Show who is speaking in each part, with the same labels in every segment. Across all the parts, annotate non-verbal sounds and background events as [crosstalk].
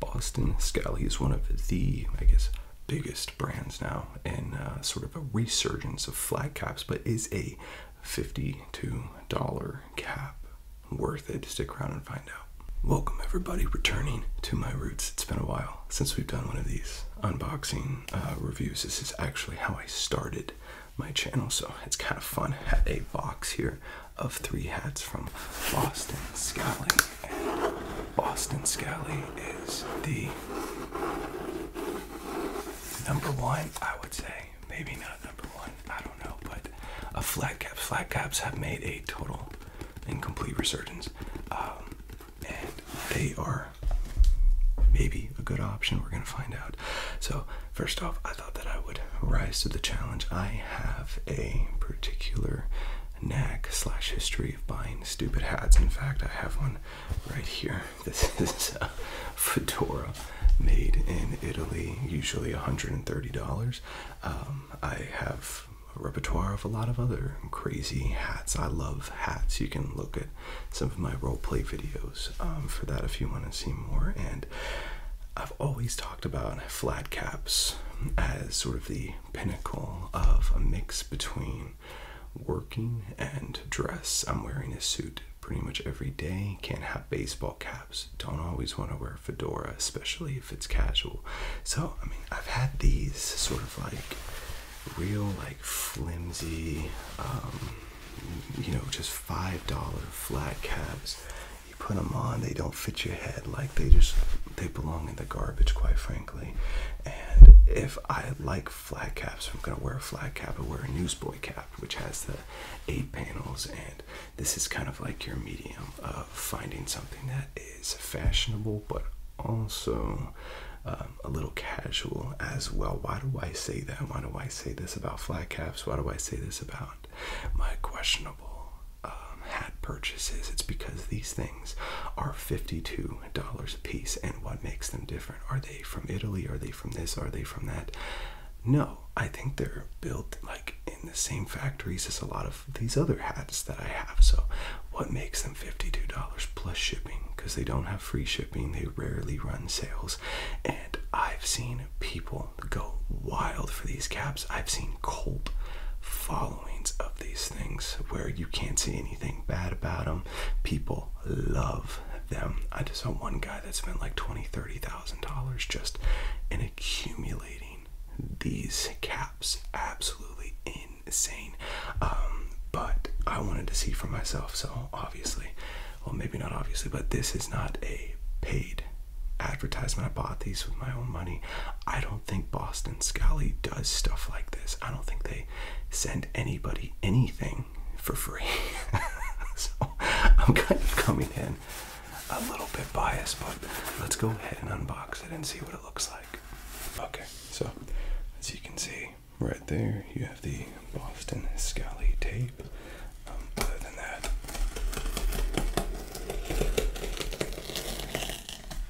Speaker 1: Boston Skelly is one of the, I guess, biggest brands now and uh, sort of a resurgence of flat caps, but is a $52 cap worth it? Stick around and find out. Welcome, everybody, returning to my roots. It's been a while since we've done one of these unboxing uh, reviews. This is actually how I started my channel, so it's kind of fun. Had a box here of three hats from Boston Scally. And Boston Scally is the number one, I would say. Maybe not number one, I don't know, but a flat caps. Flat caps have made a total and complete resurgence. Um, and they are maybe a good option. We're gonna find out. So first off, I thought that I would rise to the challenge. I have a particular knack slash history of buying stupid hats. In fact, I have one right here. [laughs] This is a fedora made in Italy, usually $130. Um, I have a repertoire of a lot of other crazy hats. I love hats. You can look at some of my role play videos um, for that if you want to see more. And I've always talked about flat caps as sort of the pinnacle of a mix between working and dress. I'm wearing a suit pretty much every day. Can't have baseball caps. Don't always want to wear a fedora, especially if it's casual. So, I mean, I've had these sort of like real, like flimsy, um, you know, just $5 flat caps you put them on, they don't fit your head. Like they just they belong in the garbage, quite frankly. And if I like flat caps, I'm gonna wear a flat cap. I wear a newsboy cap, which has the eight panels, and this is kind of like your medium of finding something that is fashionable, but also um, a little casual as well. Why do I say that? Why do I say this about flat caps? Why do I say this about my questionable um, hat purchases, it's because these things are $52 a piece. And what makes them different? Are they from Italy? Are they from this? Are they from that? No, I think they're built like in the same factories as a lot of these other hats that I have. So, what makes them $52 plus shipping? Because they don't have free shipping, they rarely run sales. And I've seen people go wild for these caps. I've seen Colt fall of these things where you can't see anything bad about them. People love them. I just saw one guy that spent like $20,000, 30000 just in accumulating these caps. Absolutely insane. Um, but I wanted to see for myself, so obviously, well, maybe not obviously, but this is not a paid advertisement. I bought these with my own money. I don't think Boston Scally does stuff like this. I don't think they send anybody anything for free. [laughs] so I'm kind of coming in a little bit biased, but let's go ahead and unbox it and see what it looks like. Okay, so as you can see right there, you have the Boston Scally tape. Um, other than that,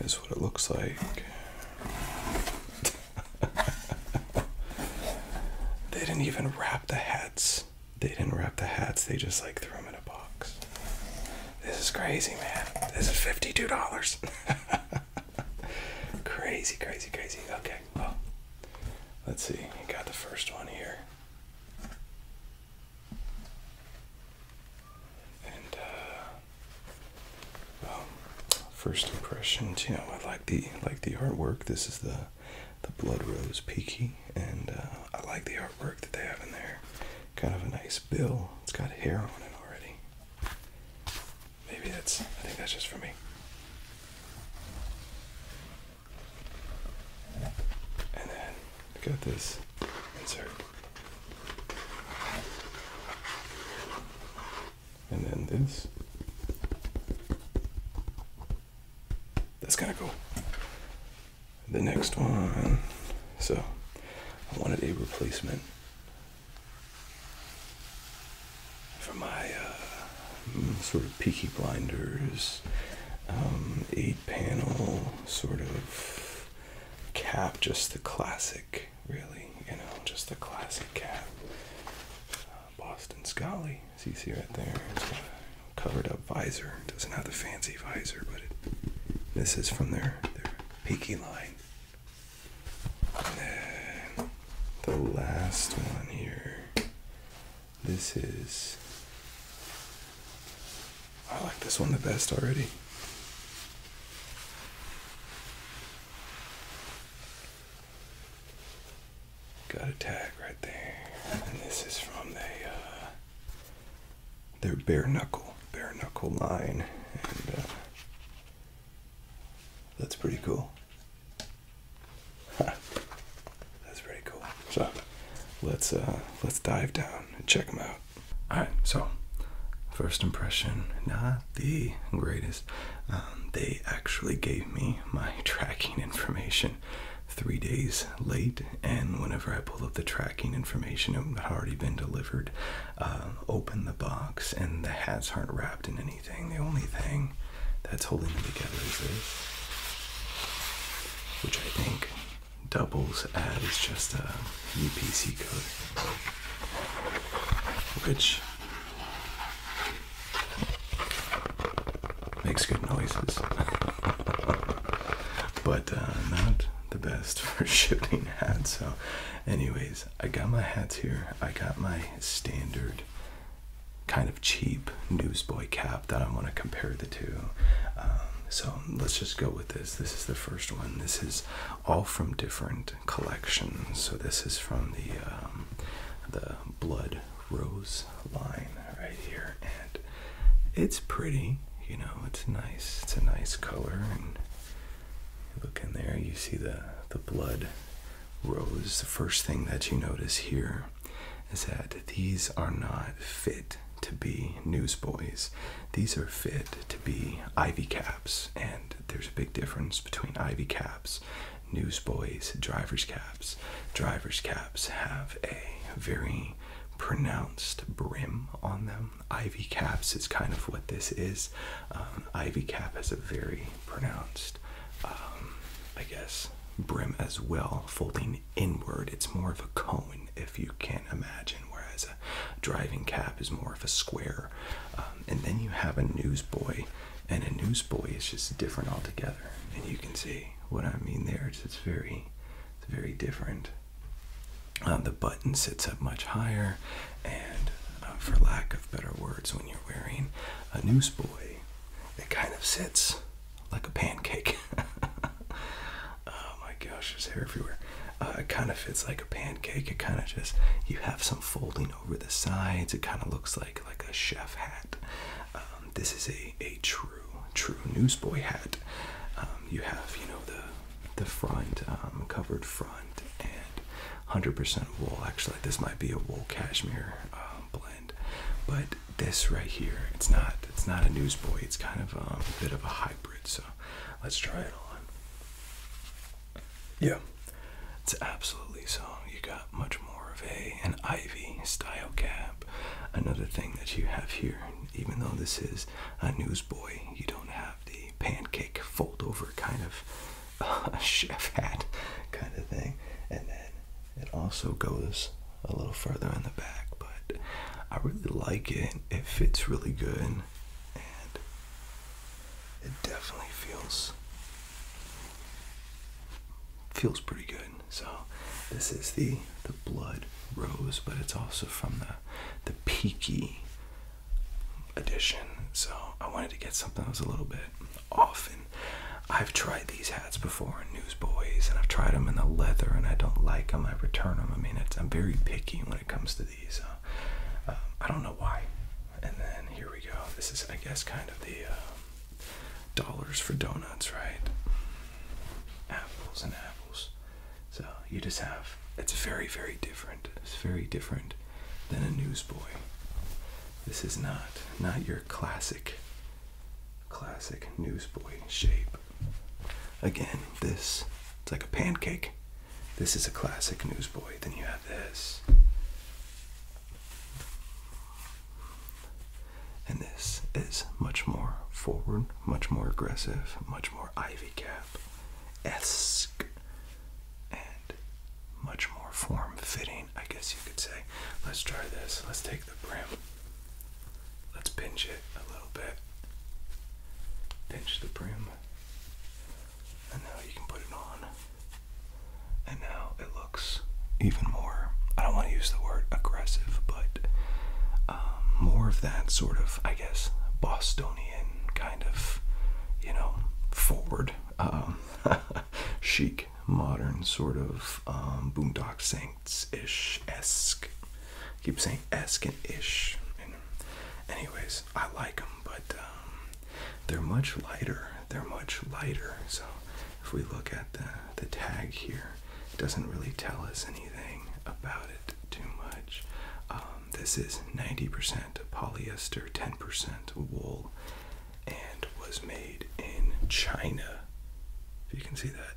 Speaker 1: this is what it looks like. [laughs] they didn't even wrap the hats. They didn't wrap the hats, they just like threw them in a box. This is crazy, man. This is $52. [laughs] crazy, crazy, crazy. Okay, well, let's see. You got the first one here. And uh, um, first impressions. You know, I like the like the artwork. This is the the blood rose peaky, and uh, I like the artwork that they have in there. Kind of a nice bill. It's got hair on it already. Maybe that's. I think that's just for me. And then we got this insert and then this. That's kind of cool. The next one. So I wanted a replacement for my uh, mm, sort of Peaky Blinders um, eight panel sort of cap, just the classic really. You know, just a classic cap. Uh, Boston Scully, as you see right there. It's got a covered up visor. Doesn't have the fancy visor, but this is from their, their Peaky line. And then the last one here. This is. I like this one the best already. Got a tag right there, and this is from the uh, their bare knuckle bare knuckle line, and uh, that's pretty cool. that's pretty cool. So let's uh, let's dive down and check them out. All right, so first impression, not the greatest. Um, they actually gave me my [laughs] tracking information three days late, and whenever I pulled up the tracking information, it had already been delivered. Uh, open the box, and the hats aren't wrapped in anything. The only thing that's holding them together is this, which I think doubles as just a UPC code, which Makes good noises, [laughs] but uh, not the best [laughs] for shifting hats. So, anyways, I got my hats here. I got my standard kind of cheap newsboy cap that I want to compare the two. Um, so let's just go with this. This is the first one. This is all from different collection. So this is from the um, the Blood Rose line right here, and it's pretty. You know, it's nice. It's a nice color, and look in there, you see the the blood rose. The first thing that you notice here is that these are not fit to be newsboys. These are fit to be Ivy Cats and there's a big difference between Ivy caps, newsboys, drivers' caps. Drivers' caps have a very pronounced brim on them. Ivy caps is kind of what this is. Um, Ivy cap has a very pronounced, um, I guess, brim as well, folding inward. It's more of a cone if you can imagine, whereas a driving cap is more of a square. Um, um, and then you have a newsboy, and a newsboy is just different altogether. And you can see what I mean there. It's, very, it's very different. Uh, the button sits up much higher, and uh, for lack of better words, when you're wearing a newsboy, it kind of sits like a pancake. [laughs] oh my gosh, there's hair everywhere. Uh, it kind of fits like a pancake. It kind of just, you have some folding over the sides. It kind of looks like like a chef hat. Um, this is a a true true newsboy hat. Um, you have you know the the front um, covered front and 100% wool. Actually, this might be a wool cashmere blend, but this right here, it's not it's not a newsboy. It's kind of a bit of a hybrid. So let's try it on. Yeah. It's absolutely so. You got much more of a an ivy style cap. Another thing that you have here, even though this is a newsboy, you don't have the pancake fold over kind of [laughs] chef hat kind of thing. And then it also goes a little further in the back, but I really like it. It fits really good. And it definitely feels feels pretty good. So this is the the blood rose, but it's also from the the peaky edition. So I wanted to get something that was a little bit off and I've tried these hats before in Newsboys and I've tried them in the leather and I don't like them. I return them. I mean, it's, I'm very picky when it comes to these. Um, I don't know why. And then here we go. This is, I guess, kind of the um, dollars for donuts, right? Apples and apples. So you just have, it's very, very different. It's very different than a newsboy. This is not, not your classic, classic newsboy shape. Again, this, it's like a pancake. This is a classic newsboy. Then you have this. And this is much more forward, much more aggressive, much more ivy cap esque, and much more form fitting, I guess you could say. Let's try this. Let's take the brim. Let's pinch it a little bit. Pinch the brim. And now you can put it on. And now it looks even more, I don't want to use the word aggressive, but um, more of that sort of, I guess, Bostonian kind of, you know, forward, um, [laughs] chic, modern sort of um, Boondock Saints ish esque. keep saying esque and ish. anyways, I like them, but um, they're much lighter they're much lighter. So if we look at the the tag here, it doesn't really tell us anything about it too much. Um, this is 90% polyester, 10% wool, and was made in China. If you can see that.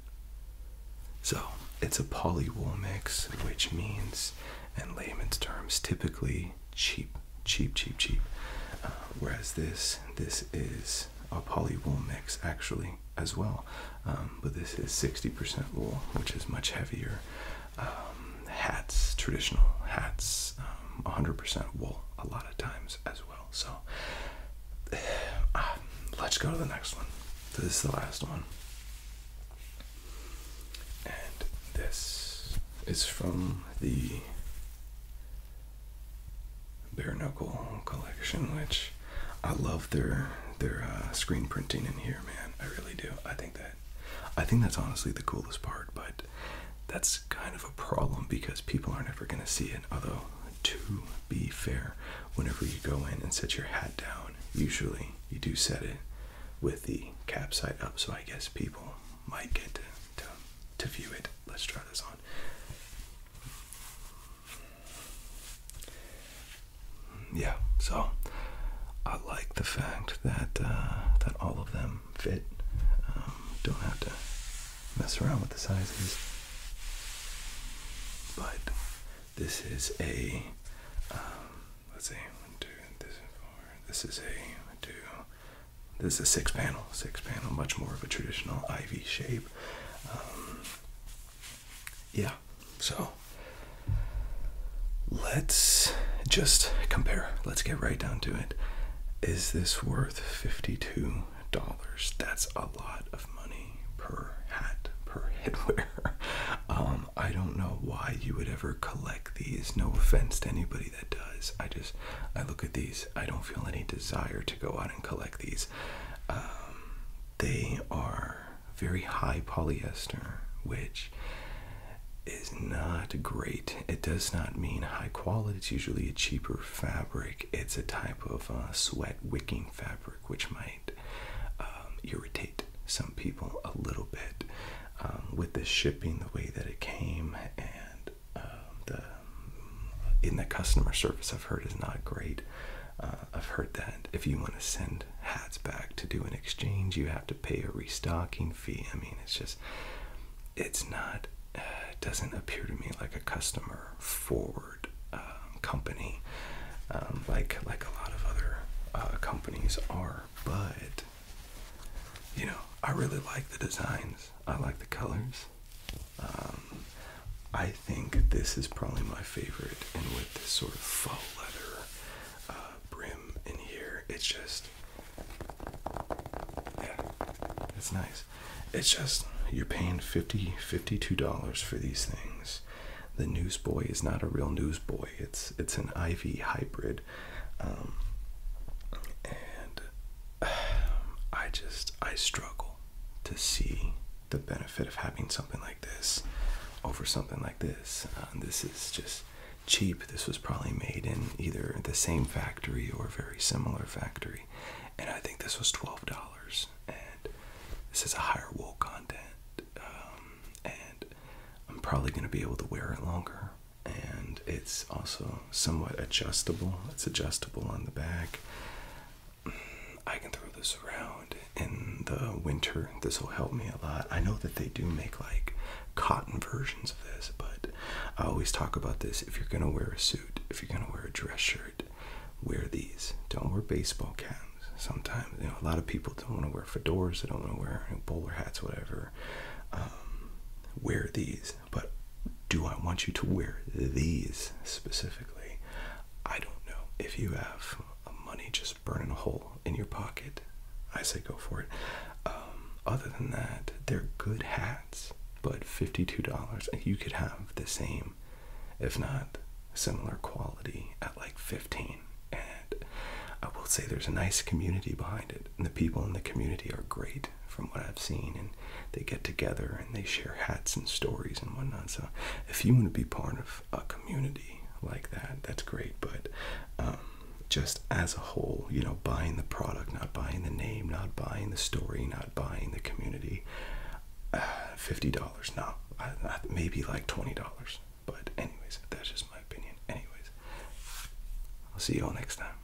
Speaker 1: So it's a polywool mix, which means, in layman's terms, typically cheap cheap, cheap, cheap. Uh, whereas this, this is a poly wool mix actually as well, um, but this is 60% wool, which is much heavier. Um, hats, traditional hats, 100% um, wool a lot of times as well. So [sighs] uh, let's go to the next one. this is the last one, and this is from the bare knuckle collection, which I love their their uh, screen printing in here, man. I really do. I think that I think that's honestly the coolest part, but that's kind of a problem because people aren't ever gonna see it. Although, to be fair, whenever you go in and set your hat down, usually you do set it with the cap side up, so I guess people might get to to view it. Let's try this on. Yeah, so I like the fact that uh, that all of them fit. Um, don't have to mess around with the sizes. But this is a um, let's see one two this is four. This is a two this is a six panel, six panel, much more of a traditional ivy shape. Um, yeah, so let's just compare. Let's get right down to it. Is this worth $52? That's a lot of money per hat, per [laughs] headwear. Um, I don't know why you would ever collect these. No offense to anybody anybody does. I just I look at these. I don't feel any desire to go out and collect these. Um, they are very high polyester, which is not great. It does not mean high quality. It's usually a cheaper fabric. It's a type of uh, sweat wicking fabric, which might um, irritate some people a little bit um, with the shipping the way that it came and uh, the in the customer service I've heard is not great. Uh, I've heard that if you want to send hats back to do an exchange, you have to pay a restocking fee. I mean, it's just, it's not, uh, it doesn't appear to me like a customer forward um, company um, like like a lot of other uh, companies are. But you know, I really like the designs. I like the colors. Um, I think this is probably my favorite, and with this sort of faux leather uh, brim in here, it's just it's nice. It's just you're paying 50 $52 for these things. The Newsboy is not a real Newsboy. It's it's an Ivy hybrid, um, and [sighs] I just I struggle to see the benefit of having something like this over something like this. Uh, this is just cheap. This was probably made in either the same factory or a very similar factory, and I think this was twelve dollars. And this has a higher wool content, um, and I'm probably going to be able to wear it longer and it's also somewhat adjustable. It's adjustable on the back. I can throw this around in the winter. This will help me a lot. I know that they do make like cotton versions of this, but I always talk about this. If you're gonna wear a suit, if you're gonna wear a dress shirt, wear these. Don't wear baseball caps. Sometimes you know a lot of people don't want to wear fedoras. They don't want to wear bowler hats, whatever. Um, wear these but do I want you to wear these specifically? I don't know. If you have money just burning a hole in your pocket, I say go for it. Um, other than that, they're good hats, but $52. You could have the same, if not similar quality, at like 15 And I will say there's a nice community behind it, and the people in the community are great from what I've seen, and they get together and they share hats and stories and whatnot. So, if you want to be part of a community like that, that's great. But um, just as a whole, you know, buying the product, not buying the name, not buying the story, not buying the community, uh, fifty dollars. No, maybe like twenty dollars. But anyways, that's just my opinion. Anyways, I'll see you all next time.